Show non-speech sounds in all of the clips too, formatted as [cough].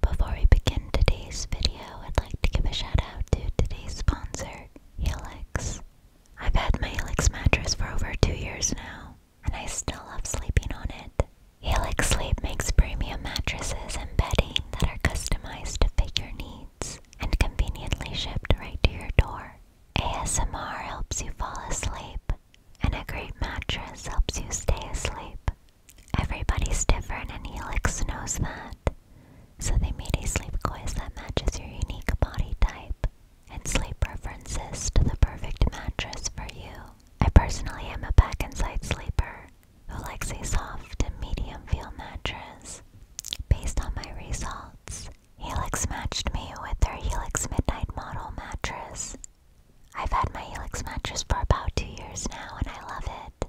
Before we begin today's video, I'd like to give a shout out to today's sponsor, Helix. I've had my Helix mattress for over two years now, and I still love sleeping on it. Helix Sleep makes premium mattresses and bedding that are customized to fit your needs and conveniently shipped right to your door. ASMR helps you fall asleep, and a great mattress helps you stay asleep. Everybody's different, and Helix knows that. So they made a sleep quiz that matches your unique body type and sleep preferences to the perfect mattress for you. I personally am a back and side sleeper who likes a soft and medium feel mattress. Based on my results, Helix matched me with their Helix Midnight Model mattress I've had my Helix mattress for about two years now and I love it.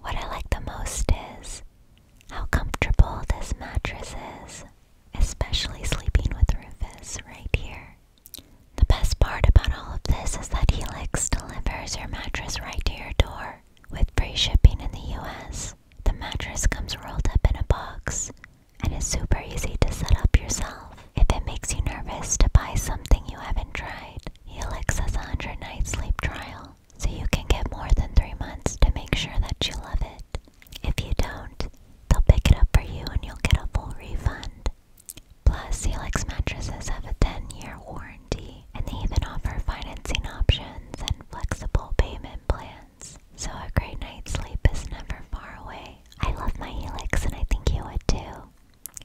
What I like the most is how comfortable this mattress is, especially sleeping with Rufus right here. The best part about all of this is that Helix delivers your mattress right to your door with free shipping in the US. The mattress comes rolled up in a box and is super easy to set up yourself. If it makes you nervous to buy something you haven't tried, Helix has a 100 night sleep trial, so you can get more than 3 months to make sure that you love it. If you don't, they'll pick it up for you and you'll get a full refund. Plus, Helix mattresses have a 10 year warranty, and they even offer financing options and flexible payment plans. So, a great night's sleep is never far away. I love my Helix, and I think you would too.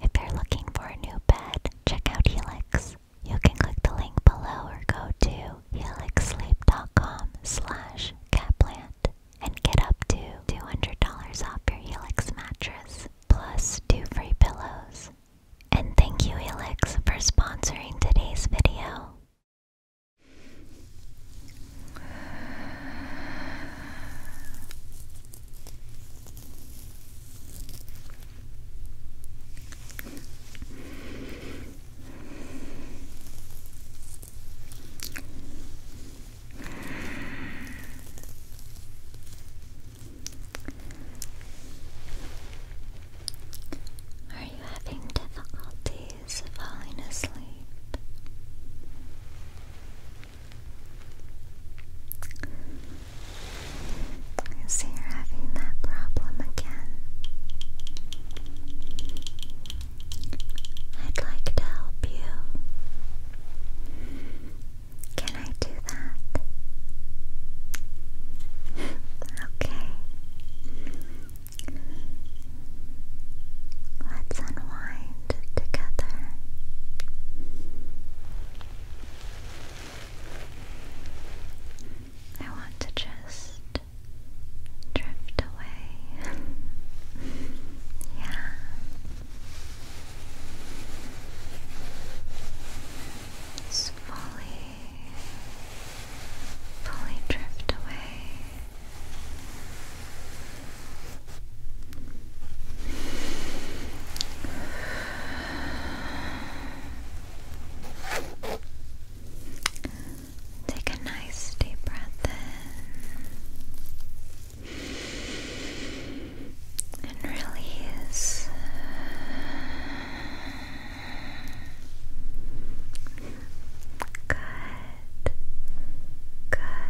If you're looking for a new bed, check out Helix. You can click the link below or go to helixsleep.com slash catplant and get up to $200 off your Helix mattress, plus two free pillows. And thank you Helix for sponsoring today's video. Are you having difficulties falling asleep? I you're having that problem again. I'd like to help you. Can I do that? [laughs] okay. Let's unwind together. I want to just drift away. [laughs] yeah. fully, fully drift away. Take a nice deep breath in and release. Good. Good.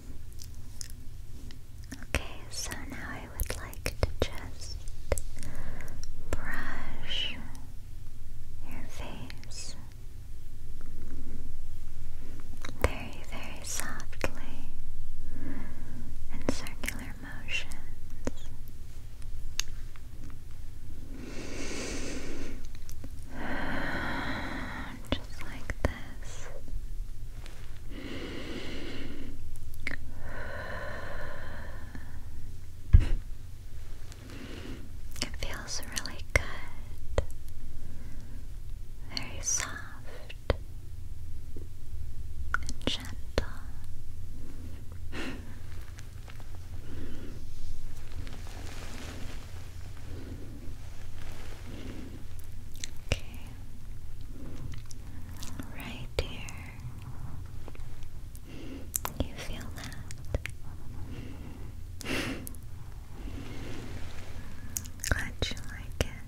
Okay, so now I would like to just brush your face very, very softly in circular motions just like this. It feels really good, very soft and gentle. Okay. Right here. You feel that? Glad you like it.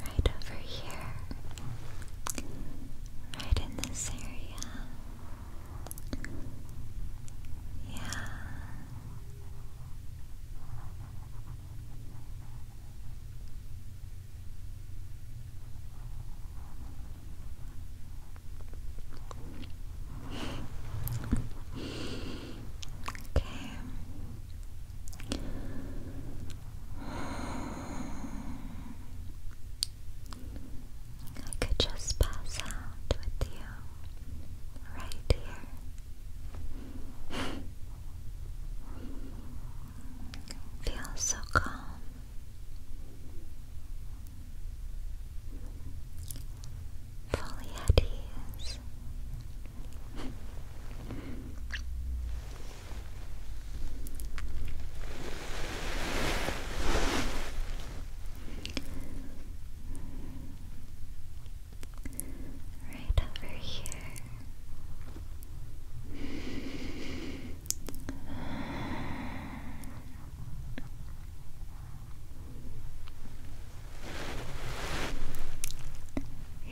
Right over here. Right in this area. Yeah. Okay. I could just pass out with you right here. Feels so calm. Polyades. right over here.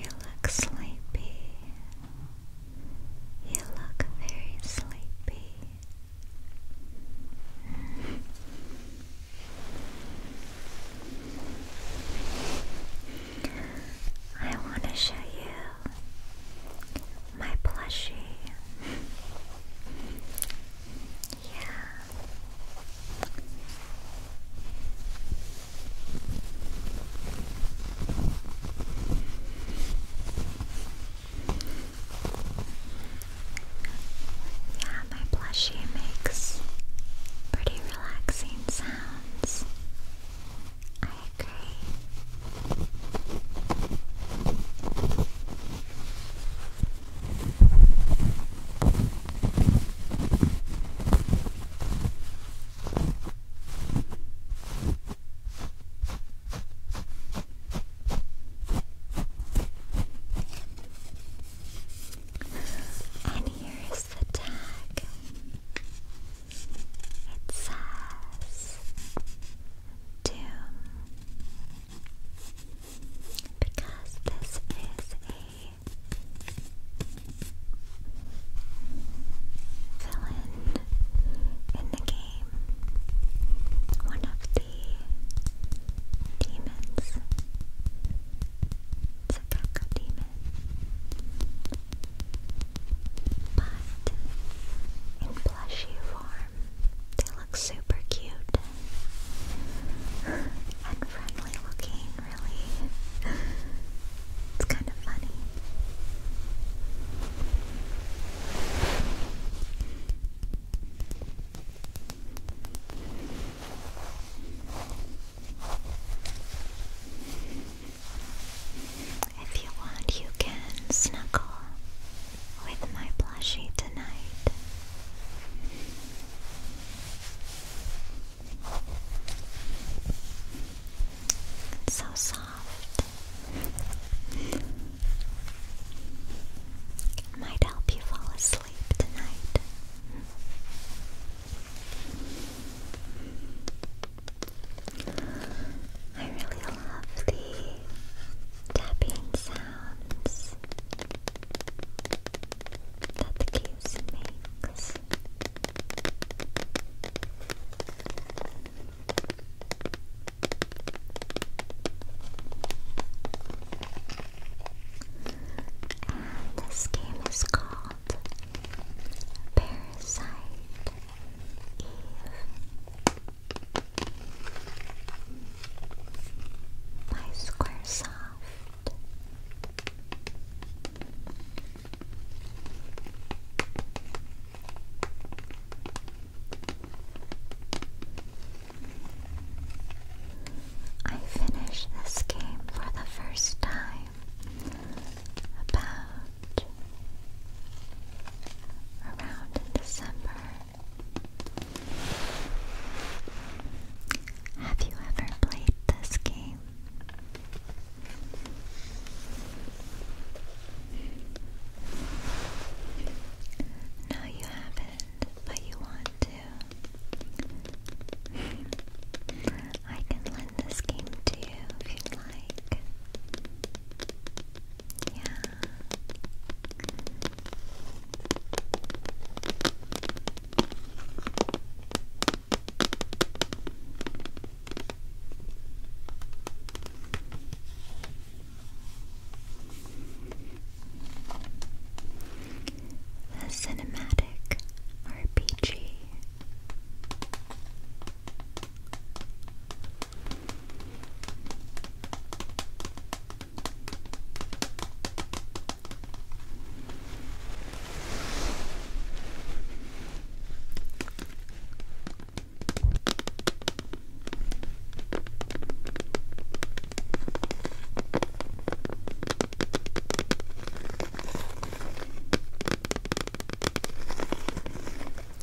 You look sleepy. You look very sleepy. I want to show you my plushie. Yeah, my plushie makes pretty relaxing sounds. I agree. And here is the tag. It says to because this is a villain in the game, one of the demons. It's a Gecko demon. But in plushy form. They look super cute and, friendly looking, really. It's kind of funny. If you want, you can snuggle with my plushie tonight. so soft. It might help you fall asleep tonight. I really love the tapping sound sounds that the case And this game is called Parasite Eve by Squaresoft. I finished this game for the first time about around December have you ever played this game? No, you haven't, but you want to. I can lend this game to you if you'd like. Yeah. The Cinematic RPG.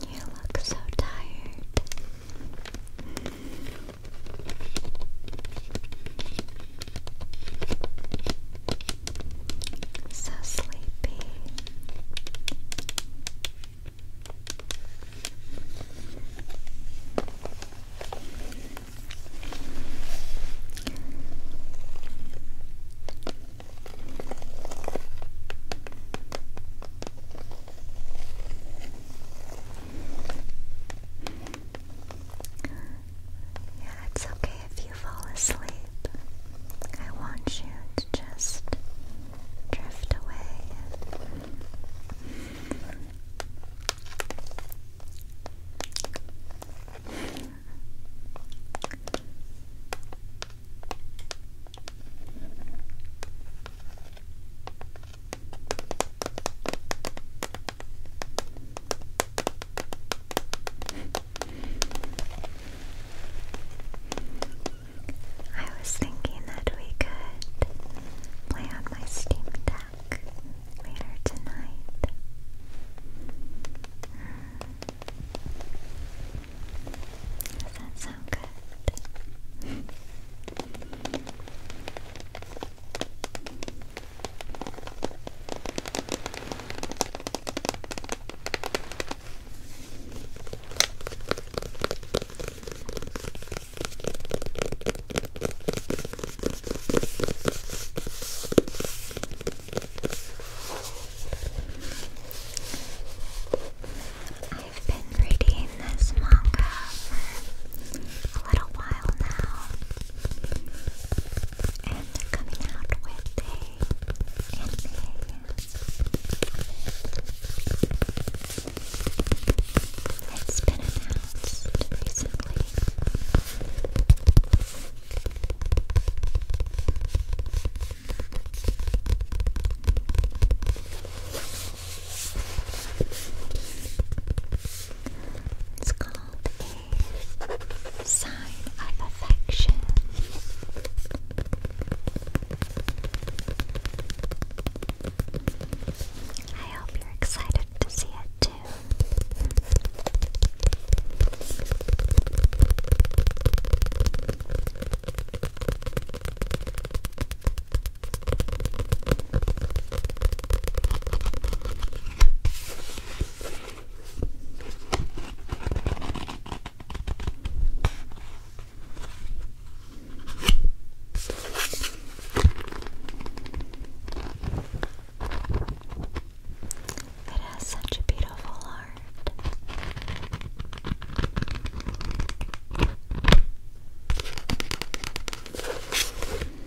You look so tired. So sleepy. Yeah, it's okay if you fall asleep. I want you to just drift away. I was thinking that we could play on my Steam Deck later tonight. Does that sound good? I've been reading reading this manga for a little while now and coming out with a anime. It's been announced recently. It's called a sign of affection. I hope you're excited to see it too. It has such a beautiful art.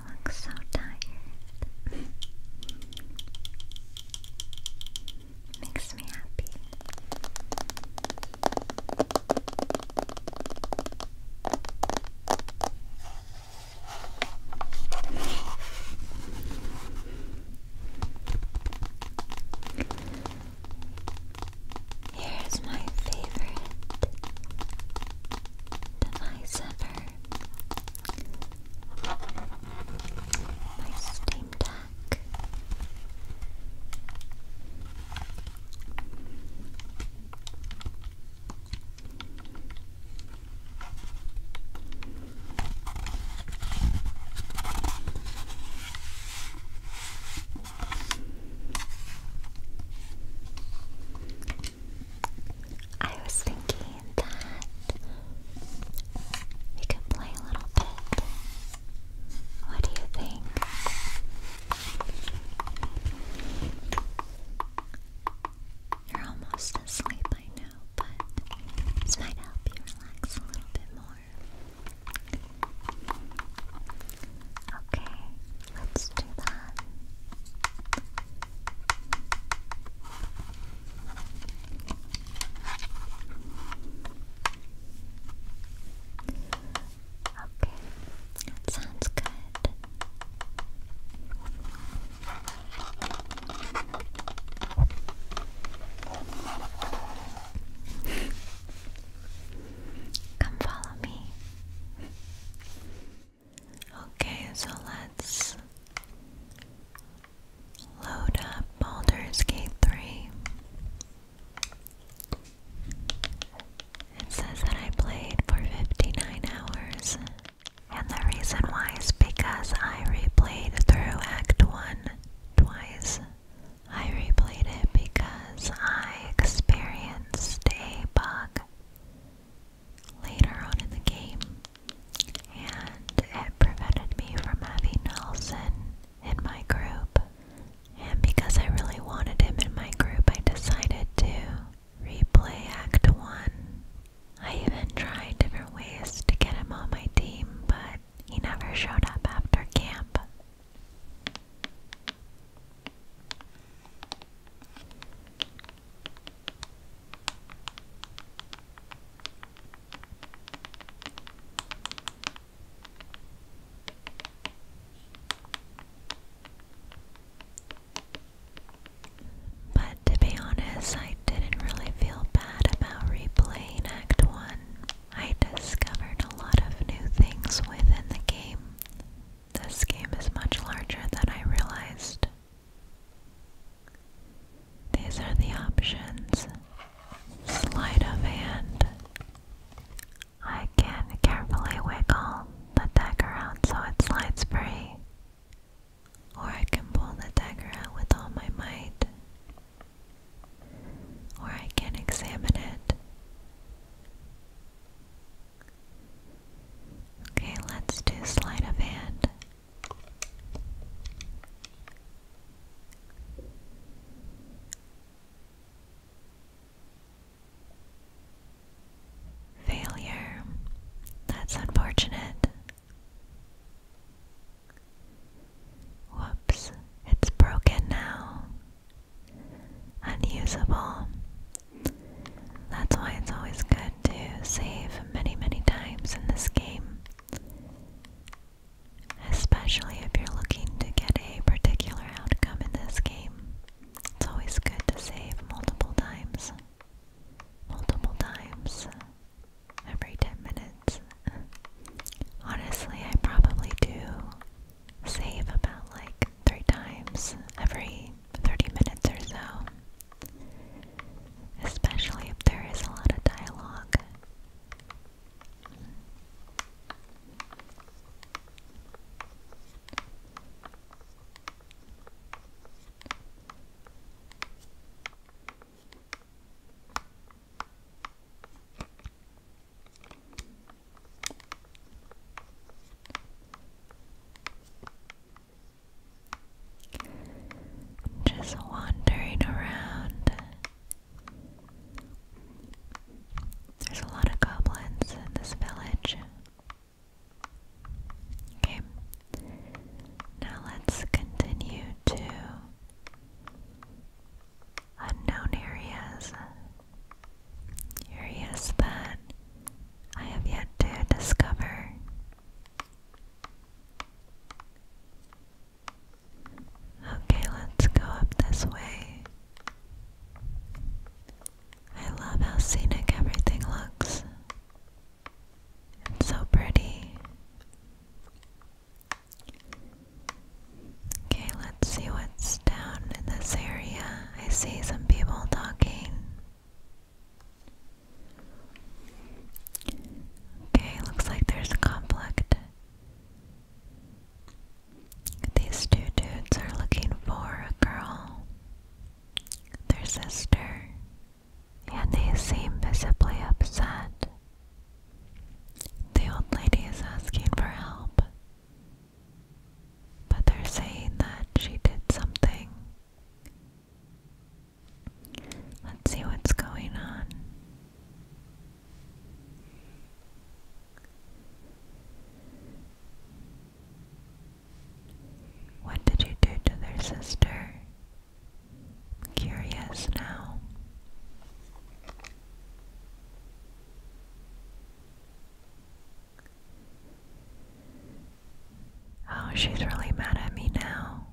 you so tired. Makes me happy. Here's my favorite device ever. Nice steam deck. I was thinking that we could play a little bit. What do you think? You're almost asleep, I know, but this might help you relax a little bit more. Okay, let's do that. Okay, that sounds good. Come follow me. Okay, so let's load up Baldur's Gate 3. It says that I played for 59 hours, and the reason why is because I replayed through Act 1 twice. I replayed it because I experienced a bug later on in the game, and it prevented me from having Nelson in my group. And because I really wanted him in my group, I decided to replay Act 1. I even tried different ways to get him on my team, but he never showed up after camp. But to be honest, I didn't really feel bad about replaying Act 1. I discovered a lot of new things within the game. This game is much larger than I realized. These are the options. Sleight of hand. I can carefully wiggle the dagger out so it slides free. Or I can pull the dagger out with all my might. Or I can examine it. Okay, let's do sleight of hand. Failure. That's unfortunate. Whoops, it's broken now. Unusable. That's why it's always good to save many, many times in this game. Especially if you're looking to get a particular outcome in this game. It's always good to save multiple times. Multiple times. Every 10 minutes. Honestly, I probably do save about like three times every 30 minutes or so. Especially if there is a lot of dialogue. Just wandering around. There's a lot of goblins in this village. Okay. Now let's continue to unknown areas. Areas that I have yet to discover. Okay, let's go up this way. I love how scenic everything looks. It's so pretty. Okay, let's see what's down in this area. I see some people talking. Okay, looks like there's a conflict. These two dudes are looking for a girl, their sister, and they seem visibly upset. The old lady is asking for help, but they're saying that she did something Let's see what's going on. What did you do to their sister? curious now. Oh, she's really mad at me now.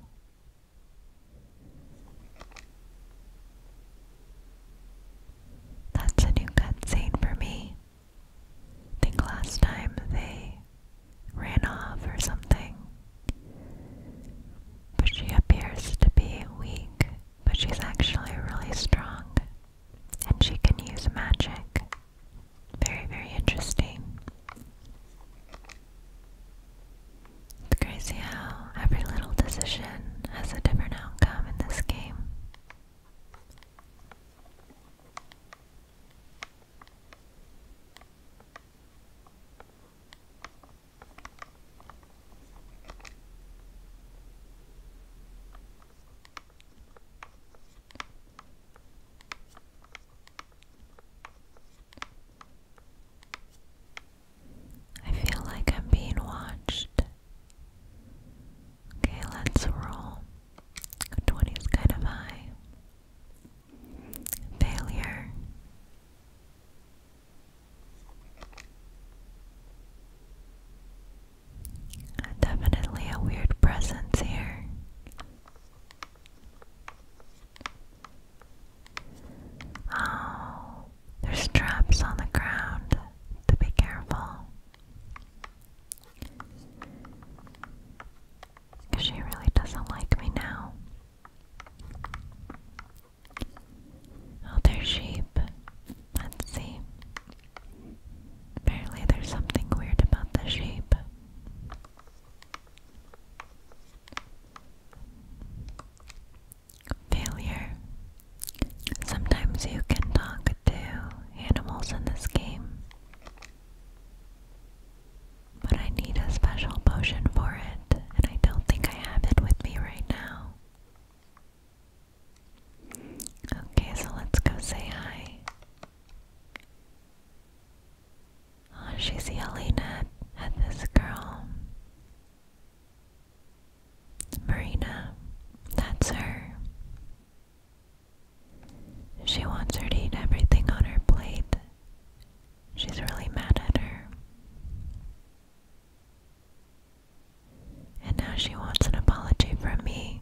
That's a new cutscene for me. think last time they ran off or something. But she appears to be weak, but she's actually really strong. And she can use magic. Very, very interesting. It's crazy how every little decision has a different outcome in this game. I feel like I'm being watched. Okay, let's roll. 20 is kind of high. Failure. Definitely a weird presence here. Oh, there's traps on the ground to be careful. she really doesn't like me now. Oh, there's sheep. Let's see. Apparently, there's something weird about the sheep. Failure. Sometimes you can talk to animals in this game, but I need a special potion for it, and I don't think I have it with me right now. Okay, so let's go say hi she's yelling at, at this girl. Marina. That's her. She wants her to eat everything on her plate. She's really mad at her. And now she wants an apology from me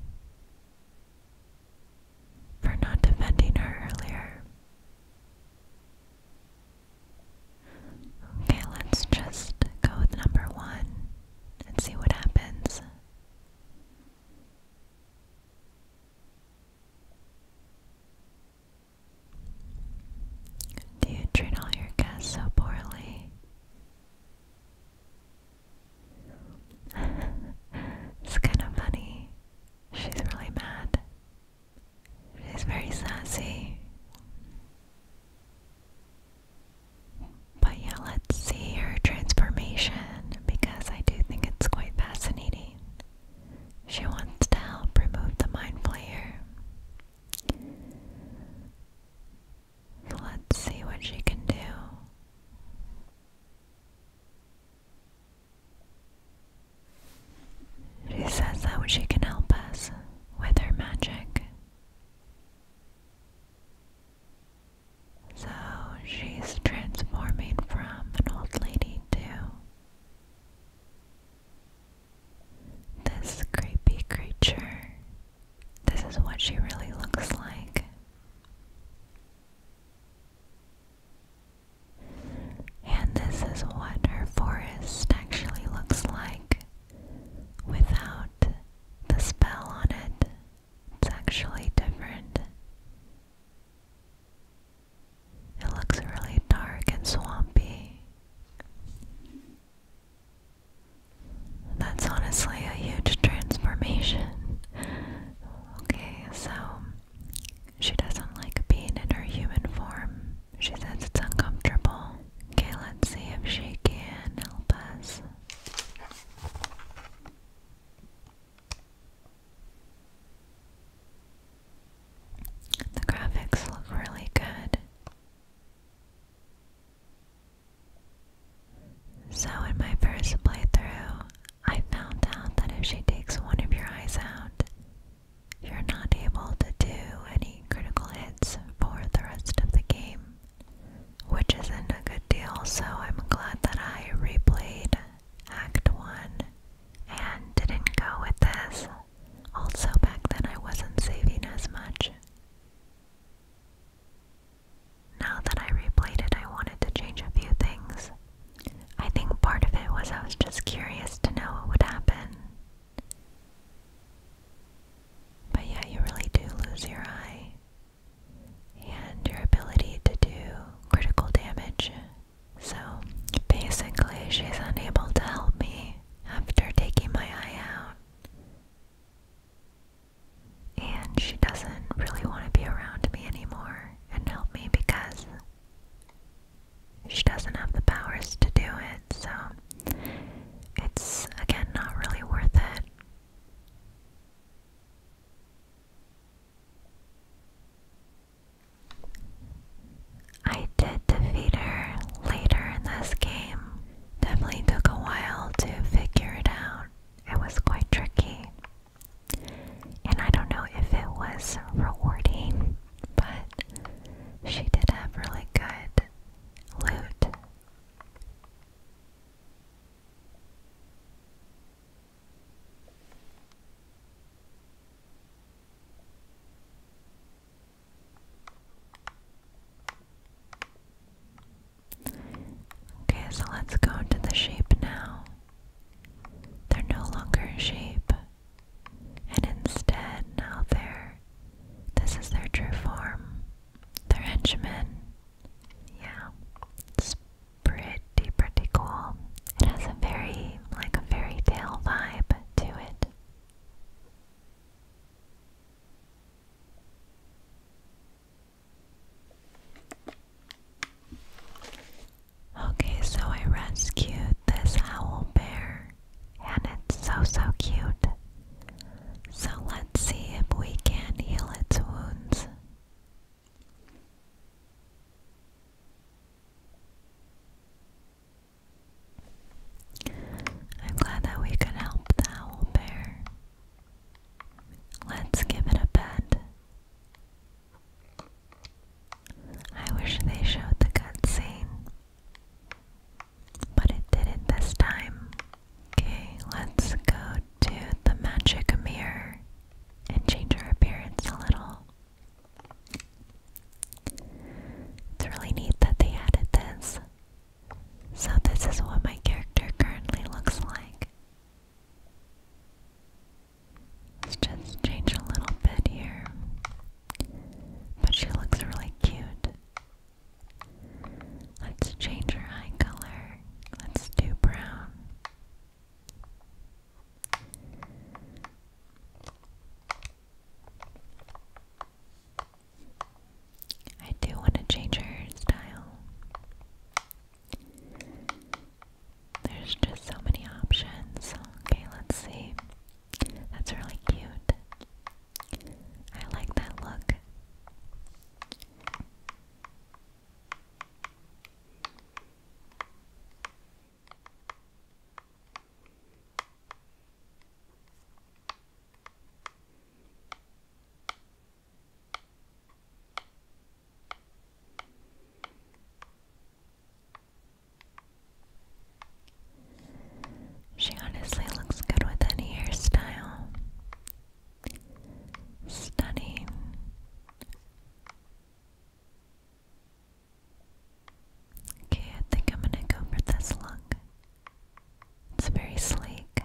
for not defending her earlier. Okay, let's just go with number one and see what happens. Do you treat all your guests so poorly? [laughs] it's kind of funny. She's really mad. She's very sassy. But yeah, let's see her transformation because I do think it's quite fascinating. She wants to help remove the mind player. let's see what she can do. She says that she can help us with her magic. So she's transforming from an old lady to this creepy creature. This is what she really looks like. And this is what her forest actually looks like without the spell on it. It's actually different. It looks really dark and swampy. That's honestly a huge transformation. Okay, so she doesn't like being in her human form. She says it's uncomfortable. Okay, let's see if she can help us. The graphics look really good. So, in my first playthrough, I found out that if she takes one of your eyes out, you're not able to do any critical hits for the rest of the game, which isn't a good deal, so I'm glad that I replayed Act 1 and didn't go with this. Also, back then I wasn't saving as much. Now that I replayed it, I wanted to change a few things. I think part of it was I was just curious to know what would happen. But yeah, you really do lose your eye and your ability to do critical damage. So basically, she's unable to help me after taking my eye out. And she doesn't really want to be around me anymore and help me because she doesn't have the powers to do it, so it's again not really worth it. I did defeat her later in this game. Definitely took a while to figure it out. It was quite tricky. And I don't know if it was rewarding. But she did have really good loot. Okay, so let's go to the sheep now. They're no longer sheep, and instead, now they're. This is their true form. They're henchmen. Yeah. It's pretty, pretty cool. It has a very, like, a fairy tale vibe to it. Okay, so I rescued this owl bear, and it's so, so cute. So let's see if we can heal its wounds. I'm glad that we could help the owl bear. Let's give it a bed. I wish they showed the cutscene. But it didn't this time. Okay, let's go to the magic mirror and change our appearance a little. It's really neat that they added this. So, this is what my character currently looks like. Let's just change a little bit here. But she looks really cute. Let's change her eye color. Let's do brown. I do want to change her style. There's just so many options. Okay, let's see. That's really cute. I like that look. She honestly looks good with any hairstyle. Stunning. Okay, I think I'm gonna go for this look. It's very sleek.